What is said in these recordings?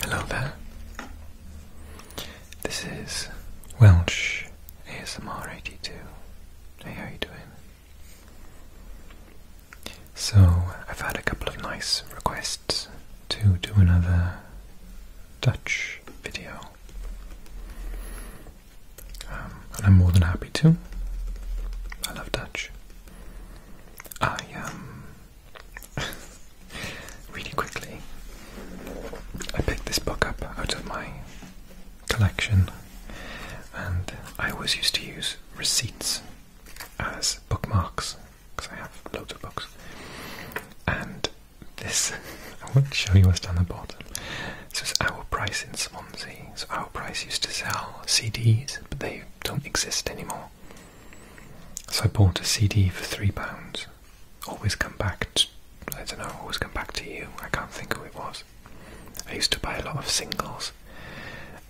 Hello there. This is Welsh ASMR82. Hey, how are you doing? So, I've had a couple of nice requests to do another Dutch video. Um, and I'm more than happy to. I love Dutch. I um, really quickly, I picked this book up out of my collection, and I always used to use receipts as bookmarks because I have loads of books. And this, I want to show you what's down the bottom. This is Our Price in Swansea. So Our Price used to sell CDs, but they don't exist anymore. So I bought a CD for three pounds. Always come back. To, I don't know. Always come back to you. I can't think who it was. I used to buy a lot of singles.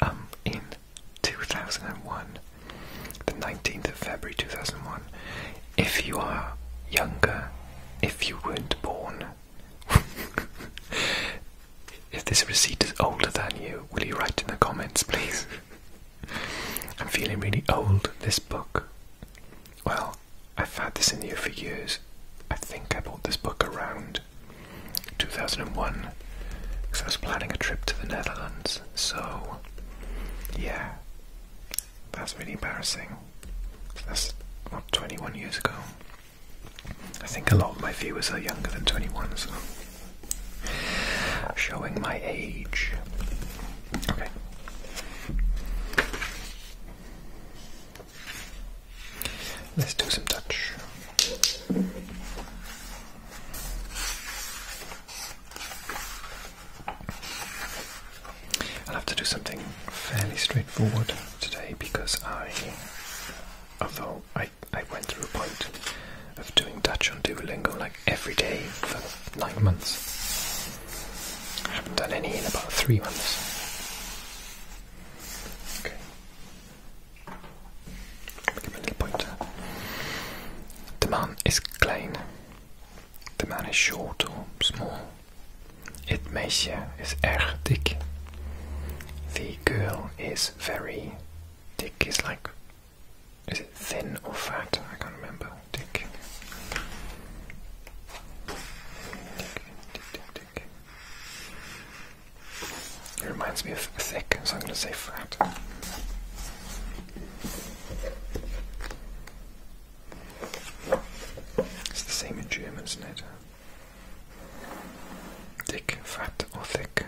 Um, in 2001, the 19th of February 2001. If you are younger, if you weren't born, If this receipt is older than you, will you write in the comments, please? I'm feeling really old, this book. Well, I've had this in the here for years. I think I bought this book around 2001 because I was planning a trip to the Netherlands, so yeah, that's really embarrassing. That's not 21 years ago. I think a lot of my viewers are younger than 21, so showing my age. Okay. Let's do some touch. I'll have to do something fairly straightforward today because I, although I I, went through a point of doing Dutch on Duolingo like every day for nine months. I haven't done any in about three months. Okay. Give me a little pointer. The man is klein. The man is short or small. It meisje is erg dik. The girl is very Dick is like, is it thin or fat? I can't remember. Dick. Dick, dick, dick, It reminds me of thick, so I'm going to say fat. It's the same in German, isn't it? Dik, fat of thick.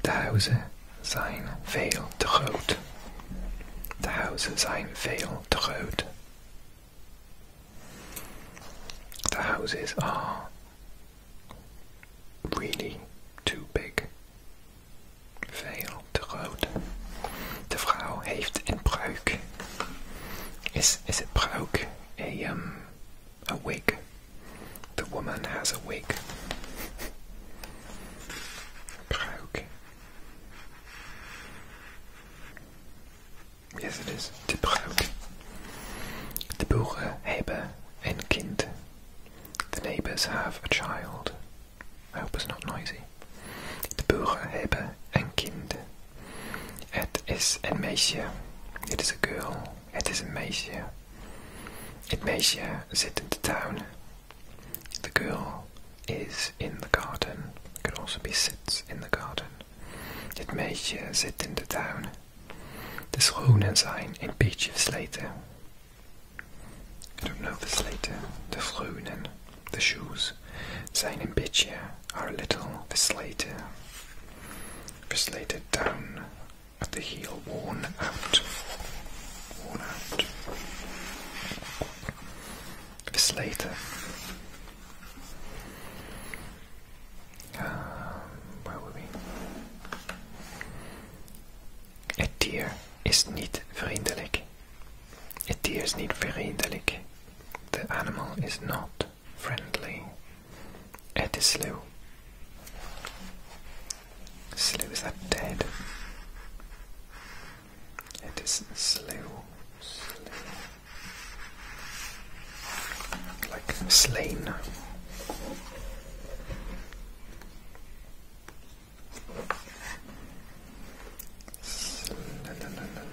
De huizen zijn veel te groot. De huizen zijn veel te groot. The houses are really too big. Veel te groot. De vrouw heeft een breuk. Is is it Prauk? A um a wig. The woman has a wig. Prauk. Yes it is. The Prauk. De Boeren hebben een kind. The neighbours have a child. I hope it's not noisy. De buren hebben een kind. Het is een meisje. Het is een girl. Het is een meisje. Het meisje zit in de tuin. De girl is in de garden. It also be sits in the garden. Het meisje zit in de tuin. De schoenen zijn een beetje versleten. I don't know versleten. De schoenen. The shoes, seinen Bitche, are a little veslated, veslated down at the heel, worn out, worn out. Veslated. Um, where were we? Het dier is niet vriendelijk. A deer is niet vriendelijk. The animal is not friendly. It is slew. Slew, is that dead? It is slew. slew. Like slain.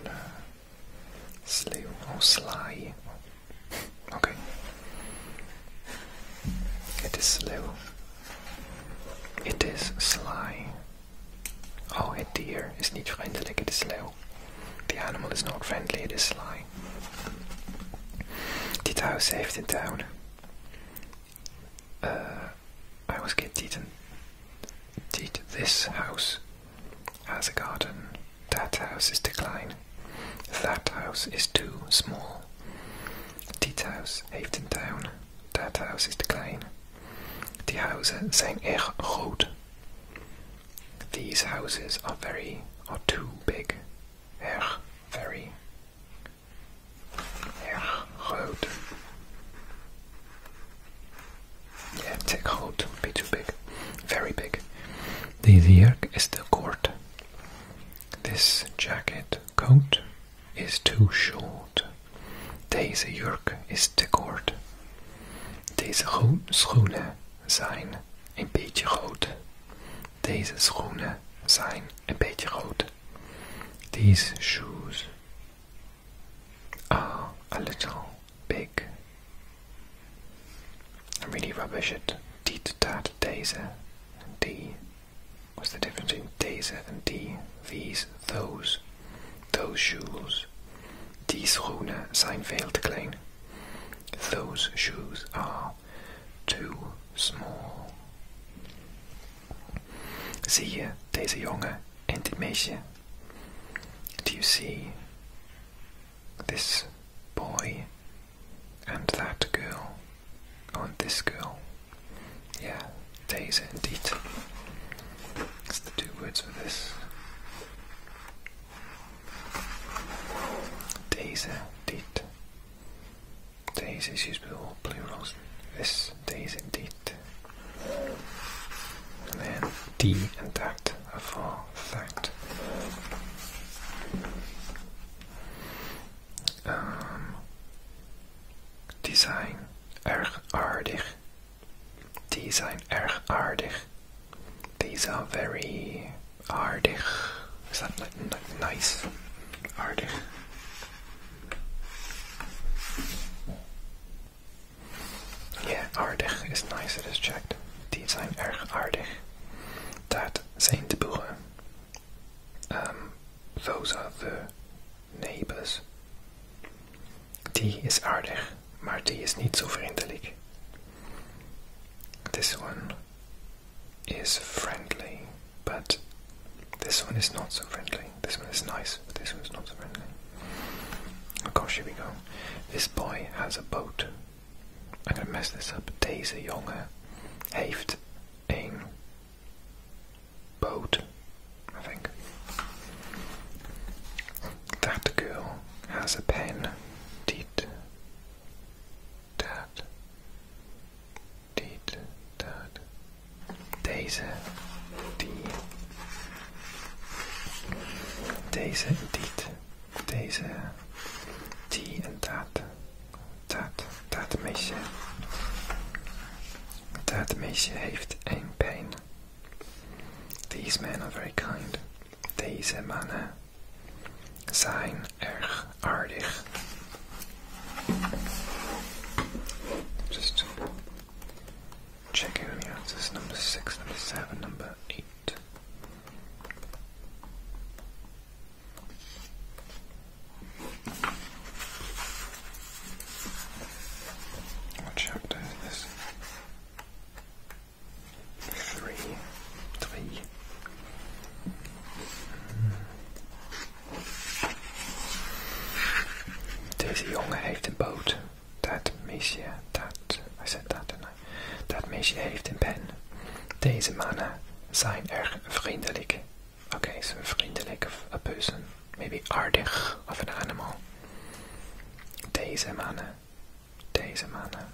Da, oh sly. Okay. It is slew. It is sly. Oh, a deer is not friendly. it is slew. The animal is not friendly, it is sly. Did I save een tuin. Uh, I was get this house has a garden? That house is decline. That house is too small. Dit house heeft een tuin. Dat house is te klein. These houses are very or too big. very. Yeah, take hold, don't be too big, very big. The, the is the court. This jacket coat is too short. Deze jurk is te kort. Deze schoenen zijn een beetje groot. Deze schoenen zijn een beetje groot. These shoes are oh, a little big. I'm really rubbish at D to dat dazer D. What's the difference between dazer and D? These, those, those shoes. Die schoenen zijn veel te klein. Those shoes are too small. See you, deze jongen en dit meisje? Do you see this boy and that girl? Oh, and this girl. Yeah, deze indeed. It's the two words for this. Deze, dit. Deze is used with all plurals. This, deze, dit. And then D and that for fact. Um, die zijn erg aardig. These are very aardig. Is that nice? Aardig. Ja, aardig is nice, it is checked. Die zijn erg aardig. Dat zijn ehm, de boeren. Um, those are the neighbors. Die is aardig, maar die is niet zo vriendelijk. This one is friendly. But this one is not so friendly. This one is nice, but this is not so friendly. Of course, here we go. This boy has a boat. I'm gonna mess this up. Deze jongen heeft een boat. I think. That girl has a pen. Did that dit, dat, deze, die, deze, dit, deze, die en dat, dat, dat meisje. Dat meisje heeft een pijn. These men are very kind. Deze mannen zijn erg aardig. Just checking out the answers. Number six, number seven, number eight. What chapter is this? Three, three. Deze jongen heeft een boot. Dat meisje, dat, I said dat tonight. Dat meisje heeft een pen. Deze mannen zijn erg vriendelijk. Oké, okay, so vriendelijk of a person. Maybe aardig of an animal. Deze mannen. Deze mannen.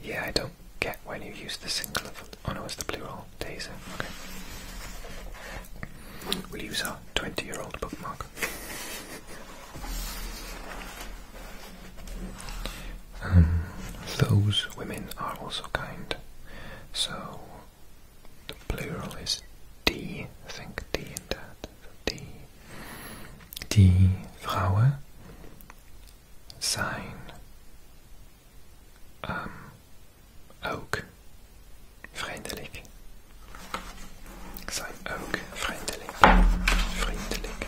Yeah, I don't get when you use the singular Oh no, it's the plural. Days. Okay. We'll use our 20 year old bookmark. Um, those women are also kind. So the plural is die, think die in that. Die. Die Frauen. Sein. Um, ook vriendelijk. Zijn ook vriendelijk. Vriendelijk.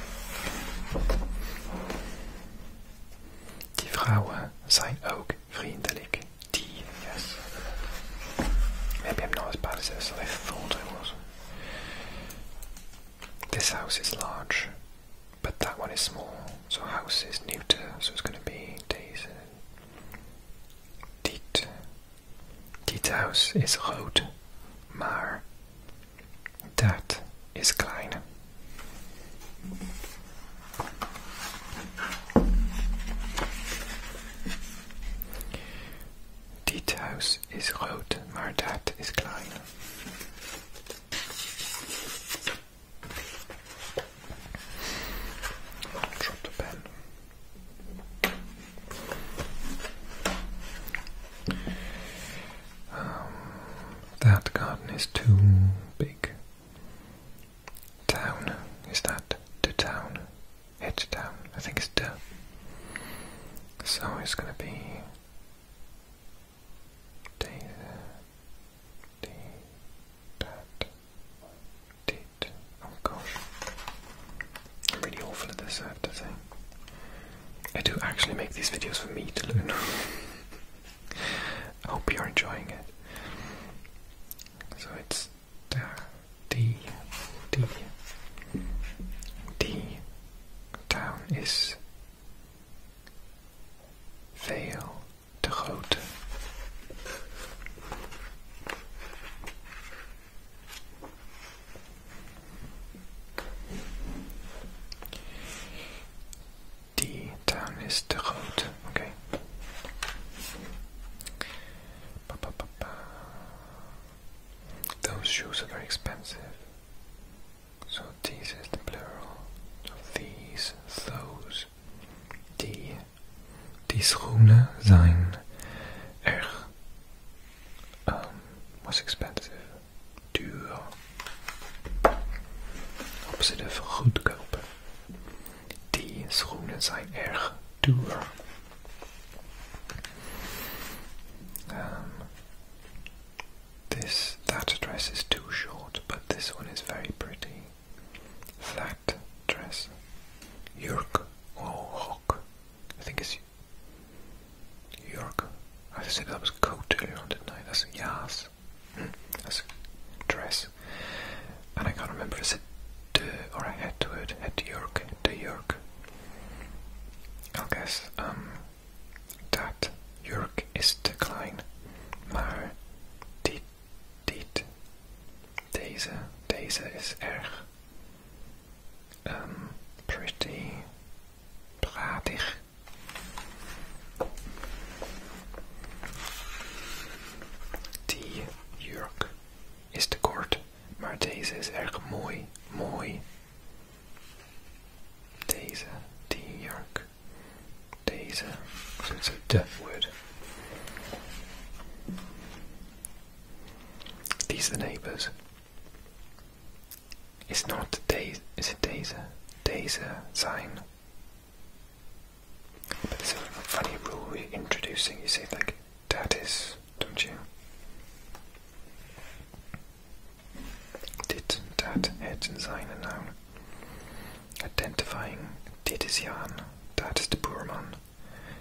Die vrouwen zijn ook vriendelijk. Die, yes. Maybe I'm not as bad as as I thought I was. This house is large. but that one is small, so house is neuter, so it's going to be days. Diet. Dit house is rood, maar dat is klein. Dit house is rood, maar dat is klein. Drop the pen. Um, that garden is too big. Town is that the town? It town. I think it's the. So it's gonna be Data. Data. Date. Oh gosh. I'm really awful at this, I have to say. I do actually make these videos for me to learn. I hope you're enjoying it. So it's D, D, D. Down is Veel te groot. Die town is te groot. Okay. Those shoes are very expensive. So deze is de plural of these, those. Die, die schoenen zijn erg, was um, expensive, duur. Opposite goedkoop. Die schoenen zijn erg duur. Um, This that dress is too short, but this one is very pretty. That dress. York, oh, Hawk. I think it's York. I said I was coat earlier on, did night. I? said yes. yas. Mm, that's a dress. And I can't remember is it or I had to it. Head York. De York. I guess. Um, Dat jurk is te klein, maar dit, dit, deze, deze is erg ehm, pretty, pratig. Die jurk is te kort, maar deze is erg mooi, mooi. Dazer, D York, so it's a word. These are the neighbours. It's not days. It's a Dazer, Dazer sign. But it's a funny rule we're introducing. You say like, "That is," don't you? Dit, dat, het zijn noun. Identifying, dit is Jan, dat is de boerman,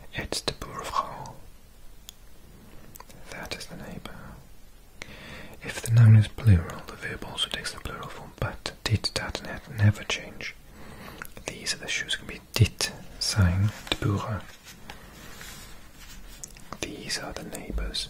it's de boervrouw. That is the neighbor. If the noun is plural, the verb also takes the plural form, but dit, dat, and het never change. These are the shoes can be dit zijn de boeren. These are the neighbors.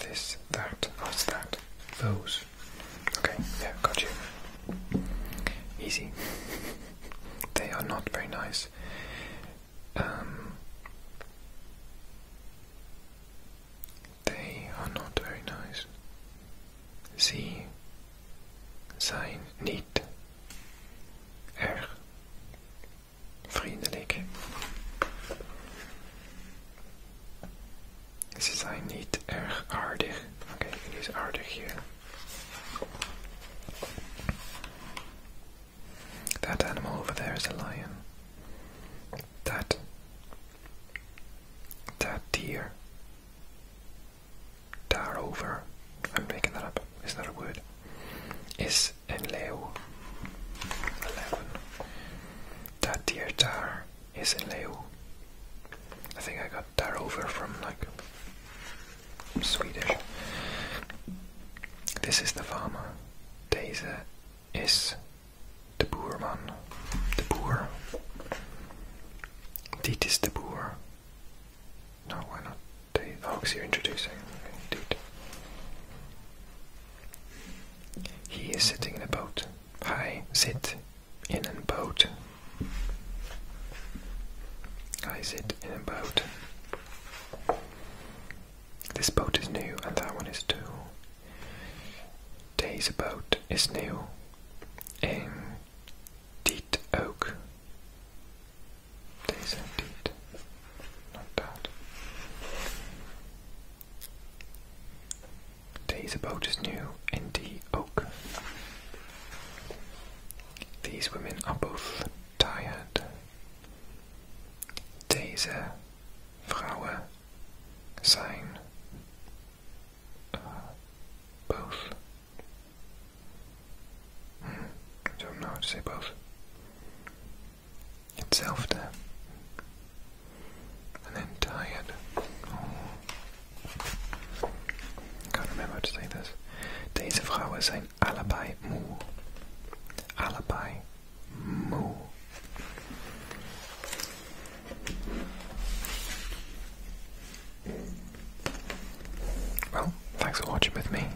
This, that, us, that? Those. Okay, yeah, got you. Easy. they are not very nice. Um, they are not very nice. Sie sein nicht. Er Friedrich. Ze zijn niet erg aardig. Oké, okay, het is here. That animal over there is a lion. That. That deer. Daarover. I'm making that up. Is that a word? Is and Leo. 11. That dear Tar is in Leo. I think I got Tar over from like Swedish. This is the farmer. Deze is the boerman. The boer. Dit is the boer. No, why not? The ox oh, you're introducing. Okay, he is sitting in a boat. I sit in a boat. I sit in a boat. This boat is new and that one is too. Days boat is new. En dit ook. Deze dit Not bad. Today's boat is new and the oak. These women are both tired. Deze vrouwen zijn uh, both. Hmm, I don't know how to say both. itself there. And then tired. Oh. Can't remember how to say this. Deze vrouwen zijn allebei moe. Allebei moe. Well, thanks for watching with me.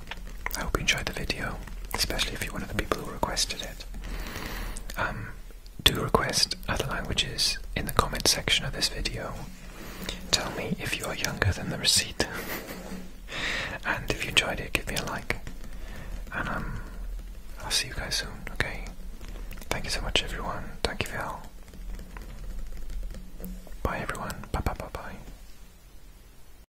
I hope you enjoyed the video, especially if you're one of the people who requested it. Um, do request other languages in the comment section of this video. Tell me if you are younger than the receipt. and if you enjoyed it, give me a like. And um, I'll see you guys soon, okay? Thank you so much, everyone. Thank you for all. Bye, everyone. Bye, bye, bye, bye.